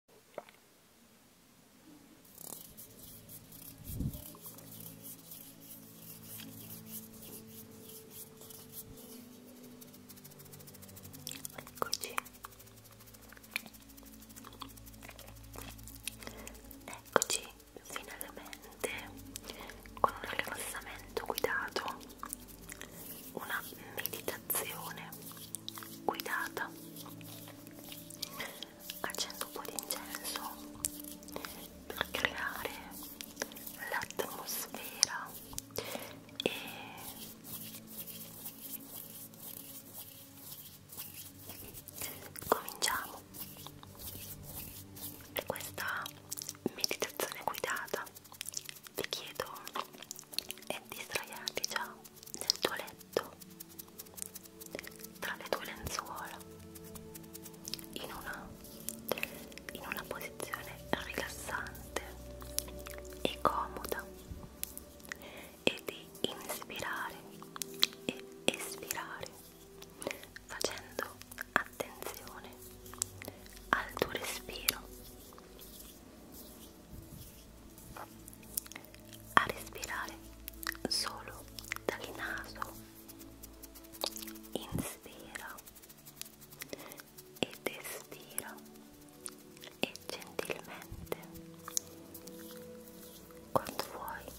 Eccoci. Eccoci finalmente con un rilassamento guidato, una meditazione guidata accendo un po' di incenso per creare l'atmosfera e cominciamo questa meditazione guidata vi chiedo e ti sdraiavi già nel tuo letto tra le tue lenzuola in una, in una posizione rilassante e comoda e di inspirare e espirare facendo attenzione al tuo respiro a respirare solo dal naso inspiro ed espiro e gentilmente quando vuoi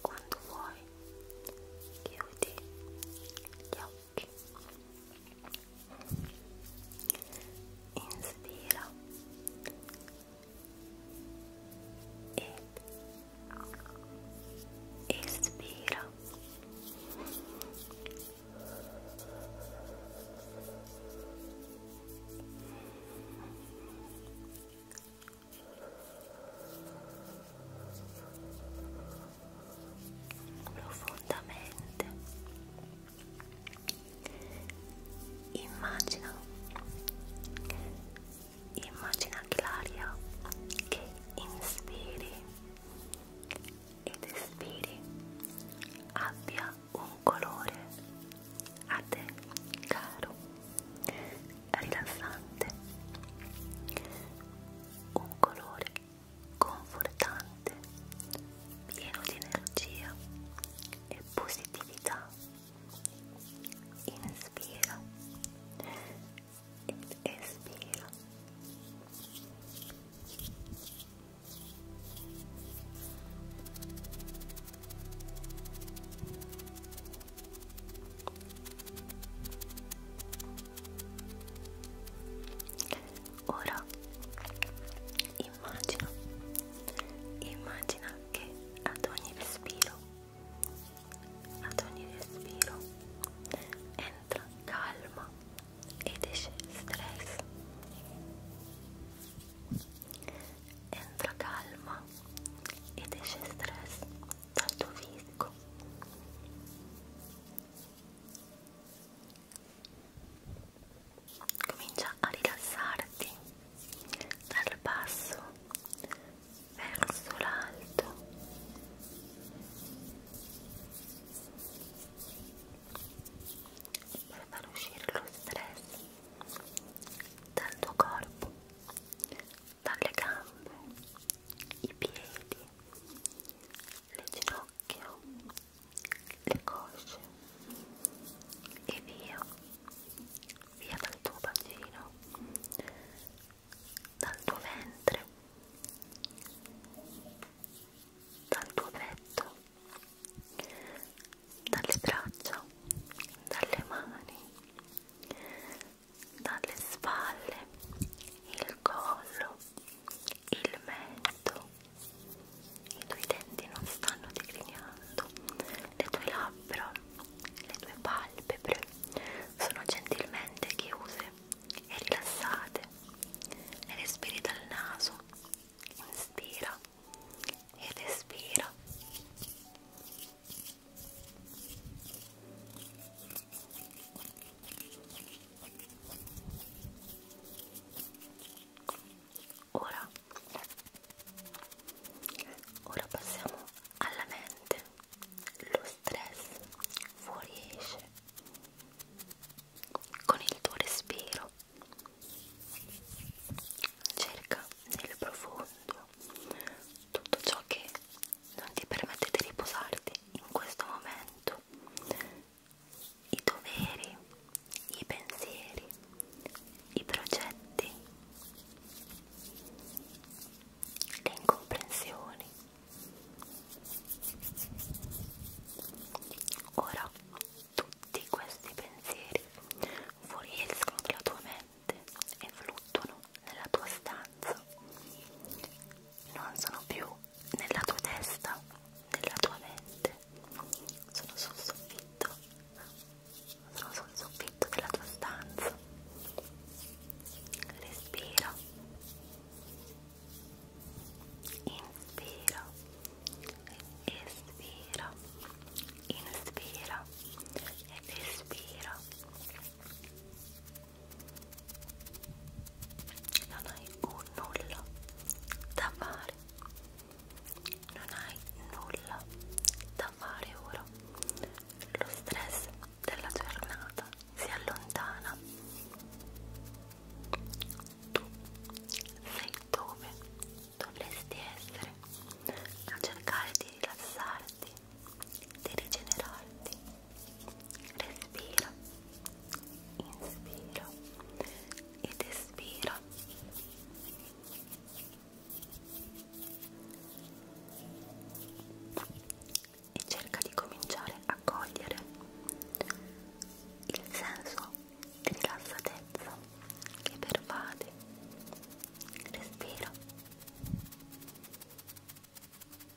quando vuoi chiudi gli occhi occhi inspira ed espira Inspira profondamente immagina immagina che l'aria che inspiri ed espiri abbia un colore a te caro rilassante un colore confortante, pieno di energia e positività. Inspira ed espira. Ora immagina, immagina che ad ogni respiro, ad ogni respiro entra calma ed esce stress. Entra calma ed esce stress dal tuo fisico comincia a rilassarti dal basso verso l'alto per far uscire lo stress dal tuo corpo dalle gambe i piedi le ginocchia che ho le cosce e via via dal tuo bacino dal tuo ventre dal tuo petto dalle braccia dalle mani dalle spalle il collo il mento, i tuoi denti non stanno digrignando, le tue labbra, le tue palpebre sono gentilmente chiuse e rilassate e respiri dal naso, inspira ed espira. Ora, ora passiamo alla mente. Lo stress fuoriesce con il tuo respiro. Cerca nel profondo tutto ciò che non ti permette di riposarti in questo momento i doveri, i pensieri, i progetti, le incomprensioni. Ora tutti questi pensieri fuoriescono dalla tua mente e fluttuano nella tua stanza non sono più nella tua testa, nella tua mente, sono sul soffitto, sono sul soffitto della tua stanza. Respira, inspira, espira, inspira ed espira non hai nulla da fare non hai nulla da fare ora lo stress della giornata si allontana tu sei dove dovresti essere a cercare di rilassarti di rigenerarti respiro inspiro ed espiro e cerca di cominciare a cogliere il senso di rilassatezza che pervade respiro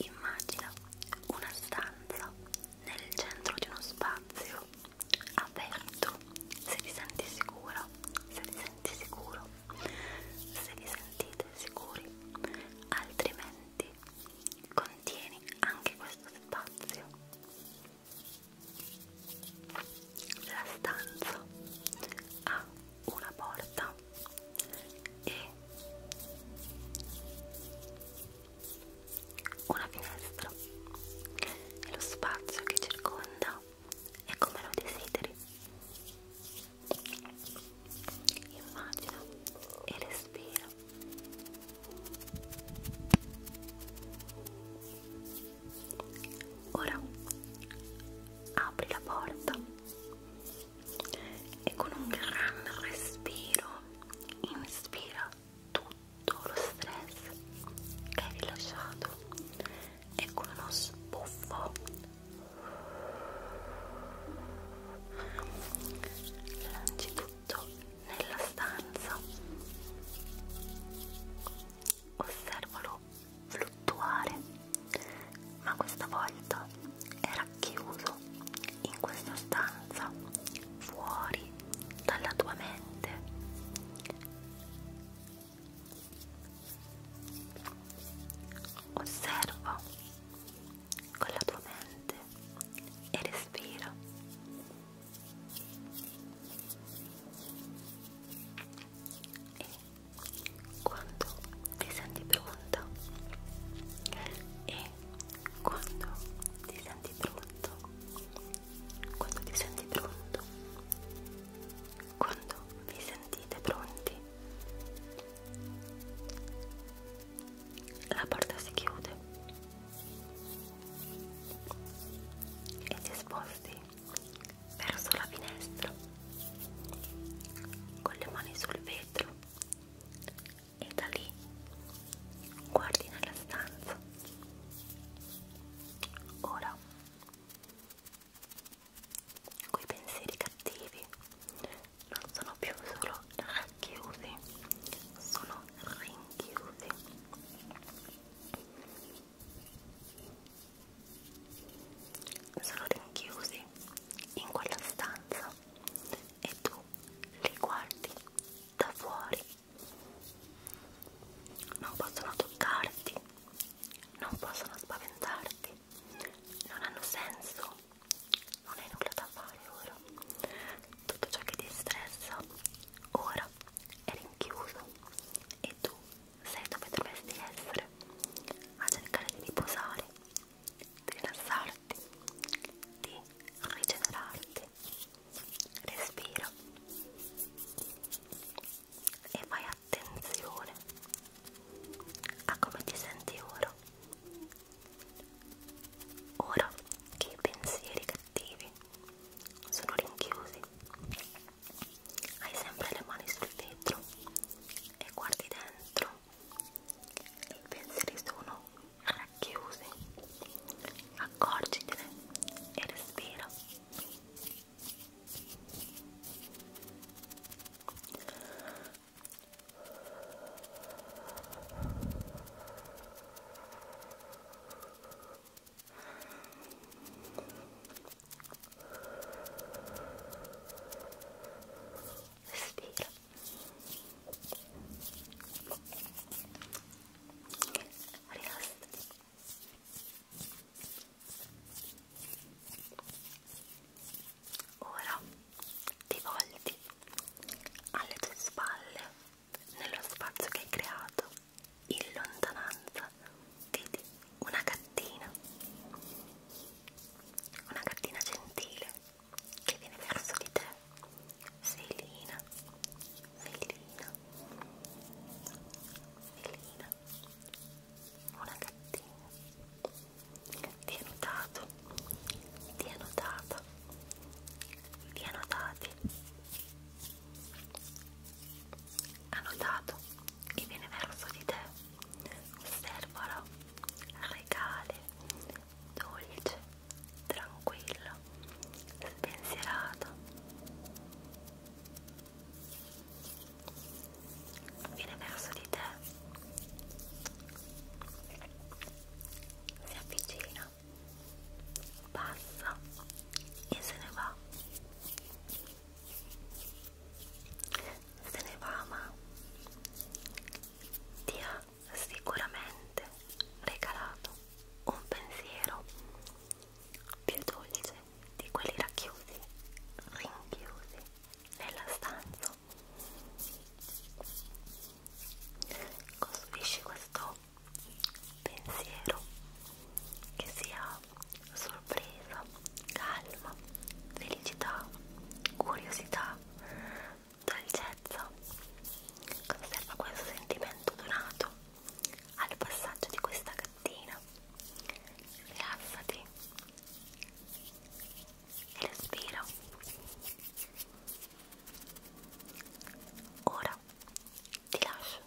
Immagina una stanza nel centro di uno spazio aperto, se ti senti sicura, se ti senti sicuro, se vi sentite sicuri, altrimenti contieni anche questo spazio. La stanza ha una porta e una finestra e lo spazio che circonda è come lo desideri immagina e respira ora apri la porta e con un gran respiro inspira tutto lo stress che hai rilasciato e con uno sbuffo lanci tutto nella stanza osservalo fluttuare ma questa volta era chiuso in questa stanza fuori dalla tua mente osserva con la tua mente e respira e quando ti senti pronta e quando ti senti pronto quando ti senti pronto quando vi sentite pronti la porta si chiude e ti sposti verso la finestra con le mani sul vetro e da lì guardi nella stanza. Ora, quei pensieri cattivi non sono più solo racchiusi, sono rinchiusi. Sono rinchiusi in quella stanza e tu li guardi da fuori. Non possono toccarti, non possono spaventarti, non hanno senso, non hai nulla da fare ora. Tutto ciò che ti stressa ora è rinchiuso e tu sei dove dovresti essere a cercare di riposare di rilassarti, di rigenerarti. Respira e fai attenzione a come ti senti ora. Ora che i pensieri cattivi sono rinchiusi, hai sempre le mani sul vetro e guardi dentro i pensieri sono racchiusi accorgitene e respira Respira rilassati ora ti volti alle tue spalle nello spazio che hai creato in lontananza vedi una gattina una gattina gentile che viene verso di te Selina Selina Selina una gattina ti è notato ti è notata ti è notati ha notato che viene verso di te osservalo regale dolce, tranquillo, spensierato. Viene verso di te, si avvicina, passa e se ne va. Se ne va ma ti ha sicuramente regalato un pensiero più dolce di quelli racchiusi, rinchiusi nella stanza. Costruisci questo pensiero che sia sorpresa, calma, felicità, curiosità, dolcezza conserva questo sentimento donato al passaggio di questa gattina rilassati e respira ora ti lascio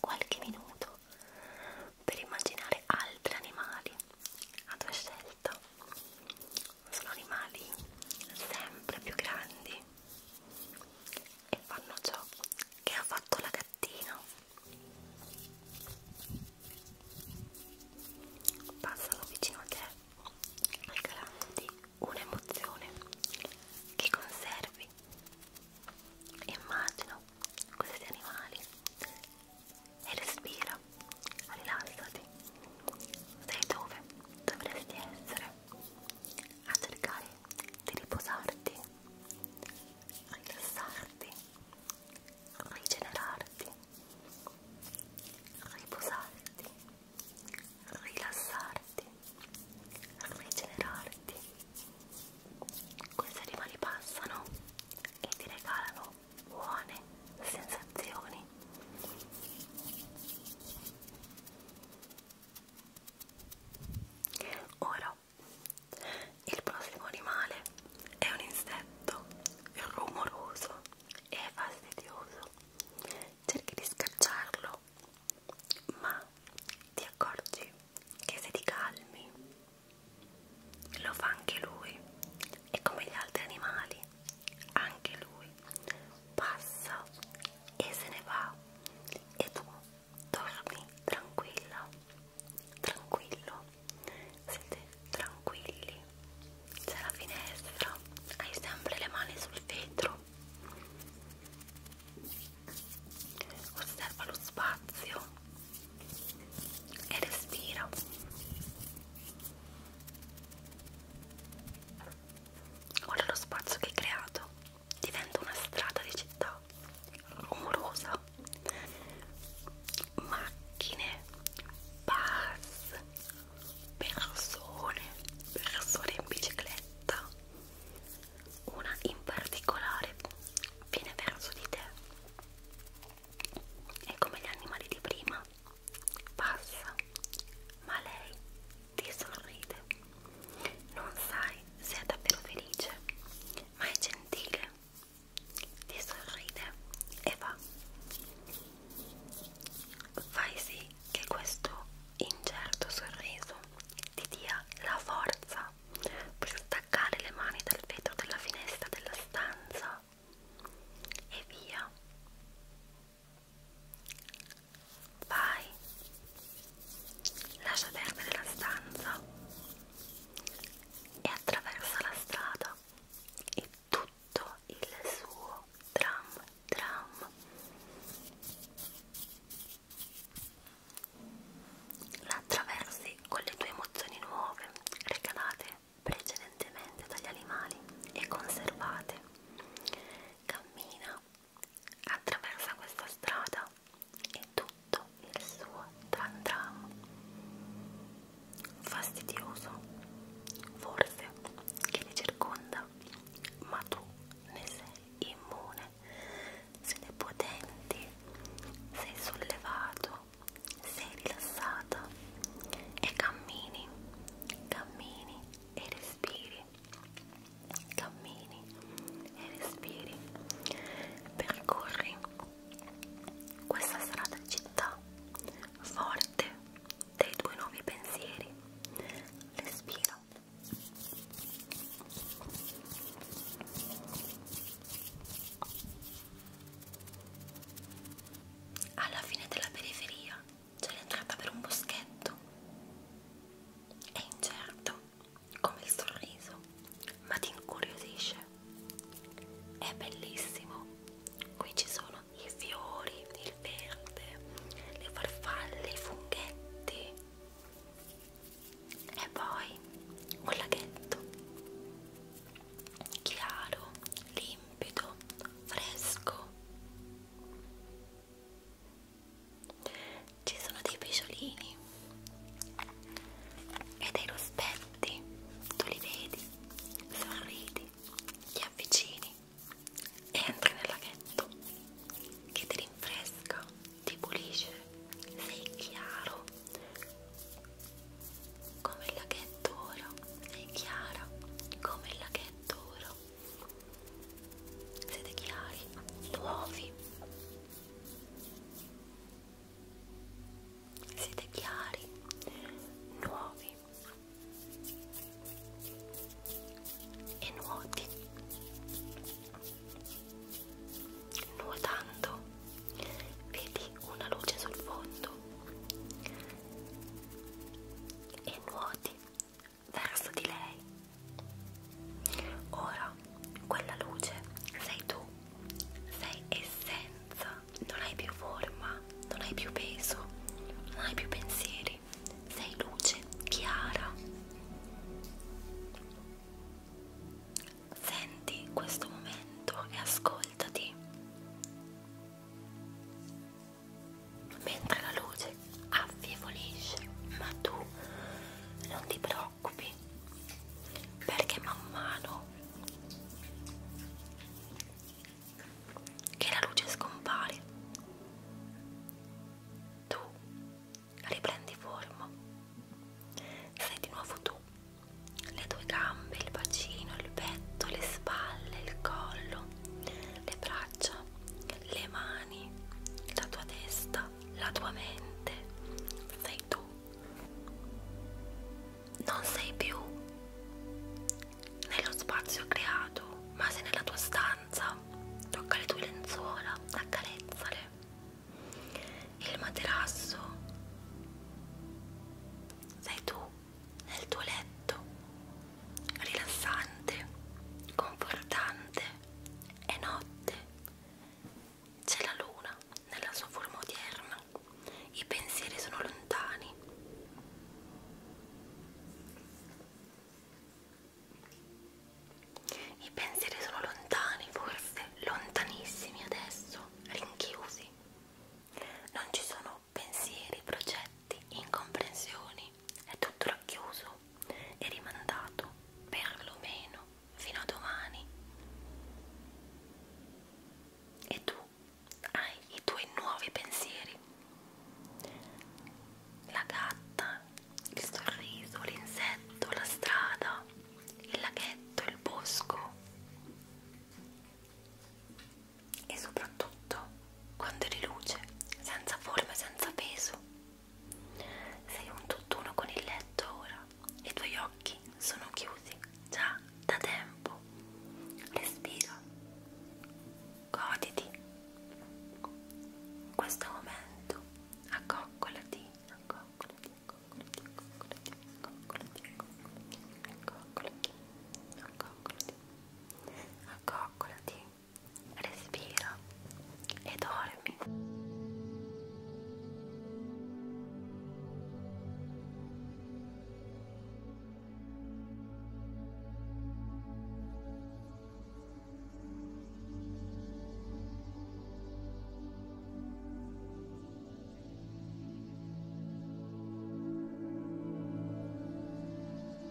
qualche minuto per immaginare altri animali a tua scelta volta sono animali sempre più grandi e fanno ciò che ha fatto la gattina passano vicino a te regalandoti un'emozione che conservi immagino questi animali e respira rilassati. Sei dove dovresti essere a cercare di riposarti, rilassarti, rigenerarti, riposarti, rilassarti, rigenerarti. Queste rima li passano e ti regalano buone sensazioni. Ora, il prossimo animale è un insetto rumoroso e fastidioso. Cerchi di scacciarlo, ma ti accorgi che se ti calmi lo fa anche lui e come gli altri animali anche lui passa e se ne va e tu dormi tranquilla tranquillo siete tranquilli c'è la finestra hai sempre le mani sul vetro osserva lo spazio e respira Ora lo spazio che hai creato diventa una strada di città rumorosa, macchine, bus, persone, persone in bicicletta. Una in particolare viene verso di te. È come gli animali di prima passa, ma lei ti sorride. Non sai se è davvero felice, ma è gentile, ti sorride e va. Fai sì che questo incerto sorriso ti dia la forza per staccare le mani dal vetro della finestra della stanza e via Vai, lascia perdere la stanza e attraversa la strada e tutto il suo tram tram. La attraversi con le tue emozioni nuove, regalate, precedenti recentemente dagli animali e conservate. Cammina attraversa questa strada e tutto il suo tran tram. Fastidioso, forse, che li circonda, ma tu ne sei immune. Sei potenti, sei sollevato, sei rilassata e cammini, cammini, e respiri, cammini e respiri, percorri questa strada di città forte dei tuoi nuovi pensieri, respira. Alla fine della periferia c'è l'entrata per un boschetto. È incerto, come il sorriso, ma ti incuriosisce. È bellissimo. Qui ci sono i fiori, il verde, le farfalle, i funghetti. E poi un laghetto chiaro, limpido, fresco ci sono dei pesciolini e dei rospetti tu li vedi sorridi ti avvicini e entri nel laghetto che ti rinfresca ti pulisce sei chiaro come il laghetto oro sei chiara come il laghetto oro siete chiari, nuovi siete chiari, nuovi e nuoti nuotando vedi una luce sul fondo e nuoti verso di lei. Ora, quella luce sei tu, sei essenza, non hai più forma, non hai più peso, non hai più pensieri, sei luce chiara. Senti questo momento e ascoltati mentre la luce affievolisce ma tu non ti preoccupi perché man mano che la luce scompare tu riprendi forma sei di nuovo tu le tue gambe, il bacino, il petto, le spalle, il collo, le braccia braccia, le mani, la tua testa, la tua mente. Sei tu. Non sei più nello spazio creato, ma sei nella tua stanza. Tocca le tue lenzuola, accarezzale. Il materasso. Sei tu nel tuo letto rilassante, confortante. È notte, c'è la luna nella sua forma odierna, i pensieri sono lontani. I pensieri sono lontani, forse lontanissimi adesso, rinchiusi. Non ci sono pensieri, progetti conflitti, incomprensioni è tutto racchiuso e rimandato perlomeno fino a domani. E tu hai i tuoi nuovi pensieri. La gatta, il sorriso, l'insetto, la strada, il laghetto, il bosco. E soprattutto quando eri luce, senza forma e senza peso. Sei un tutt'uno con il letto ora, i tuoi occhi sono chiusi già da tempo. Respira, goditi questo momento, accoccolati, accoccolati, accoccolati, accoccolati, accoccolati, accoccolati, accoccolati, accoccolati, accoccolati, respira e dormi.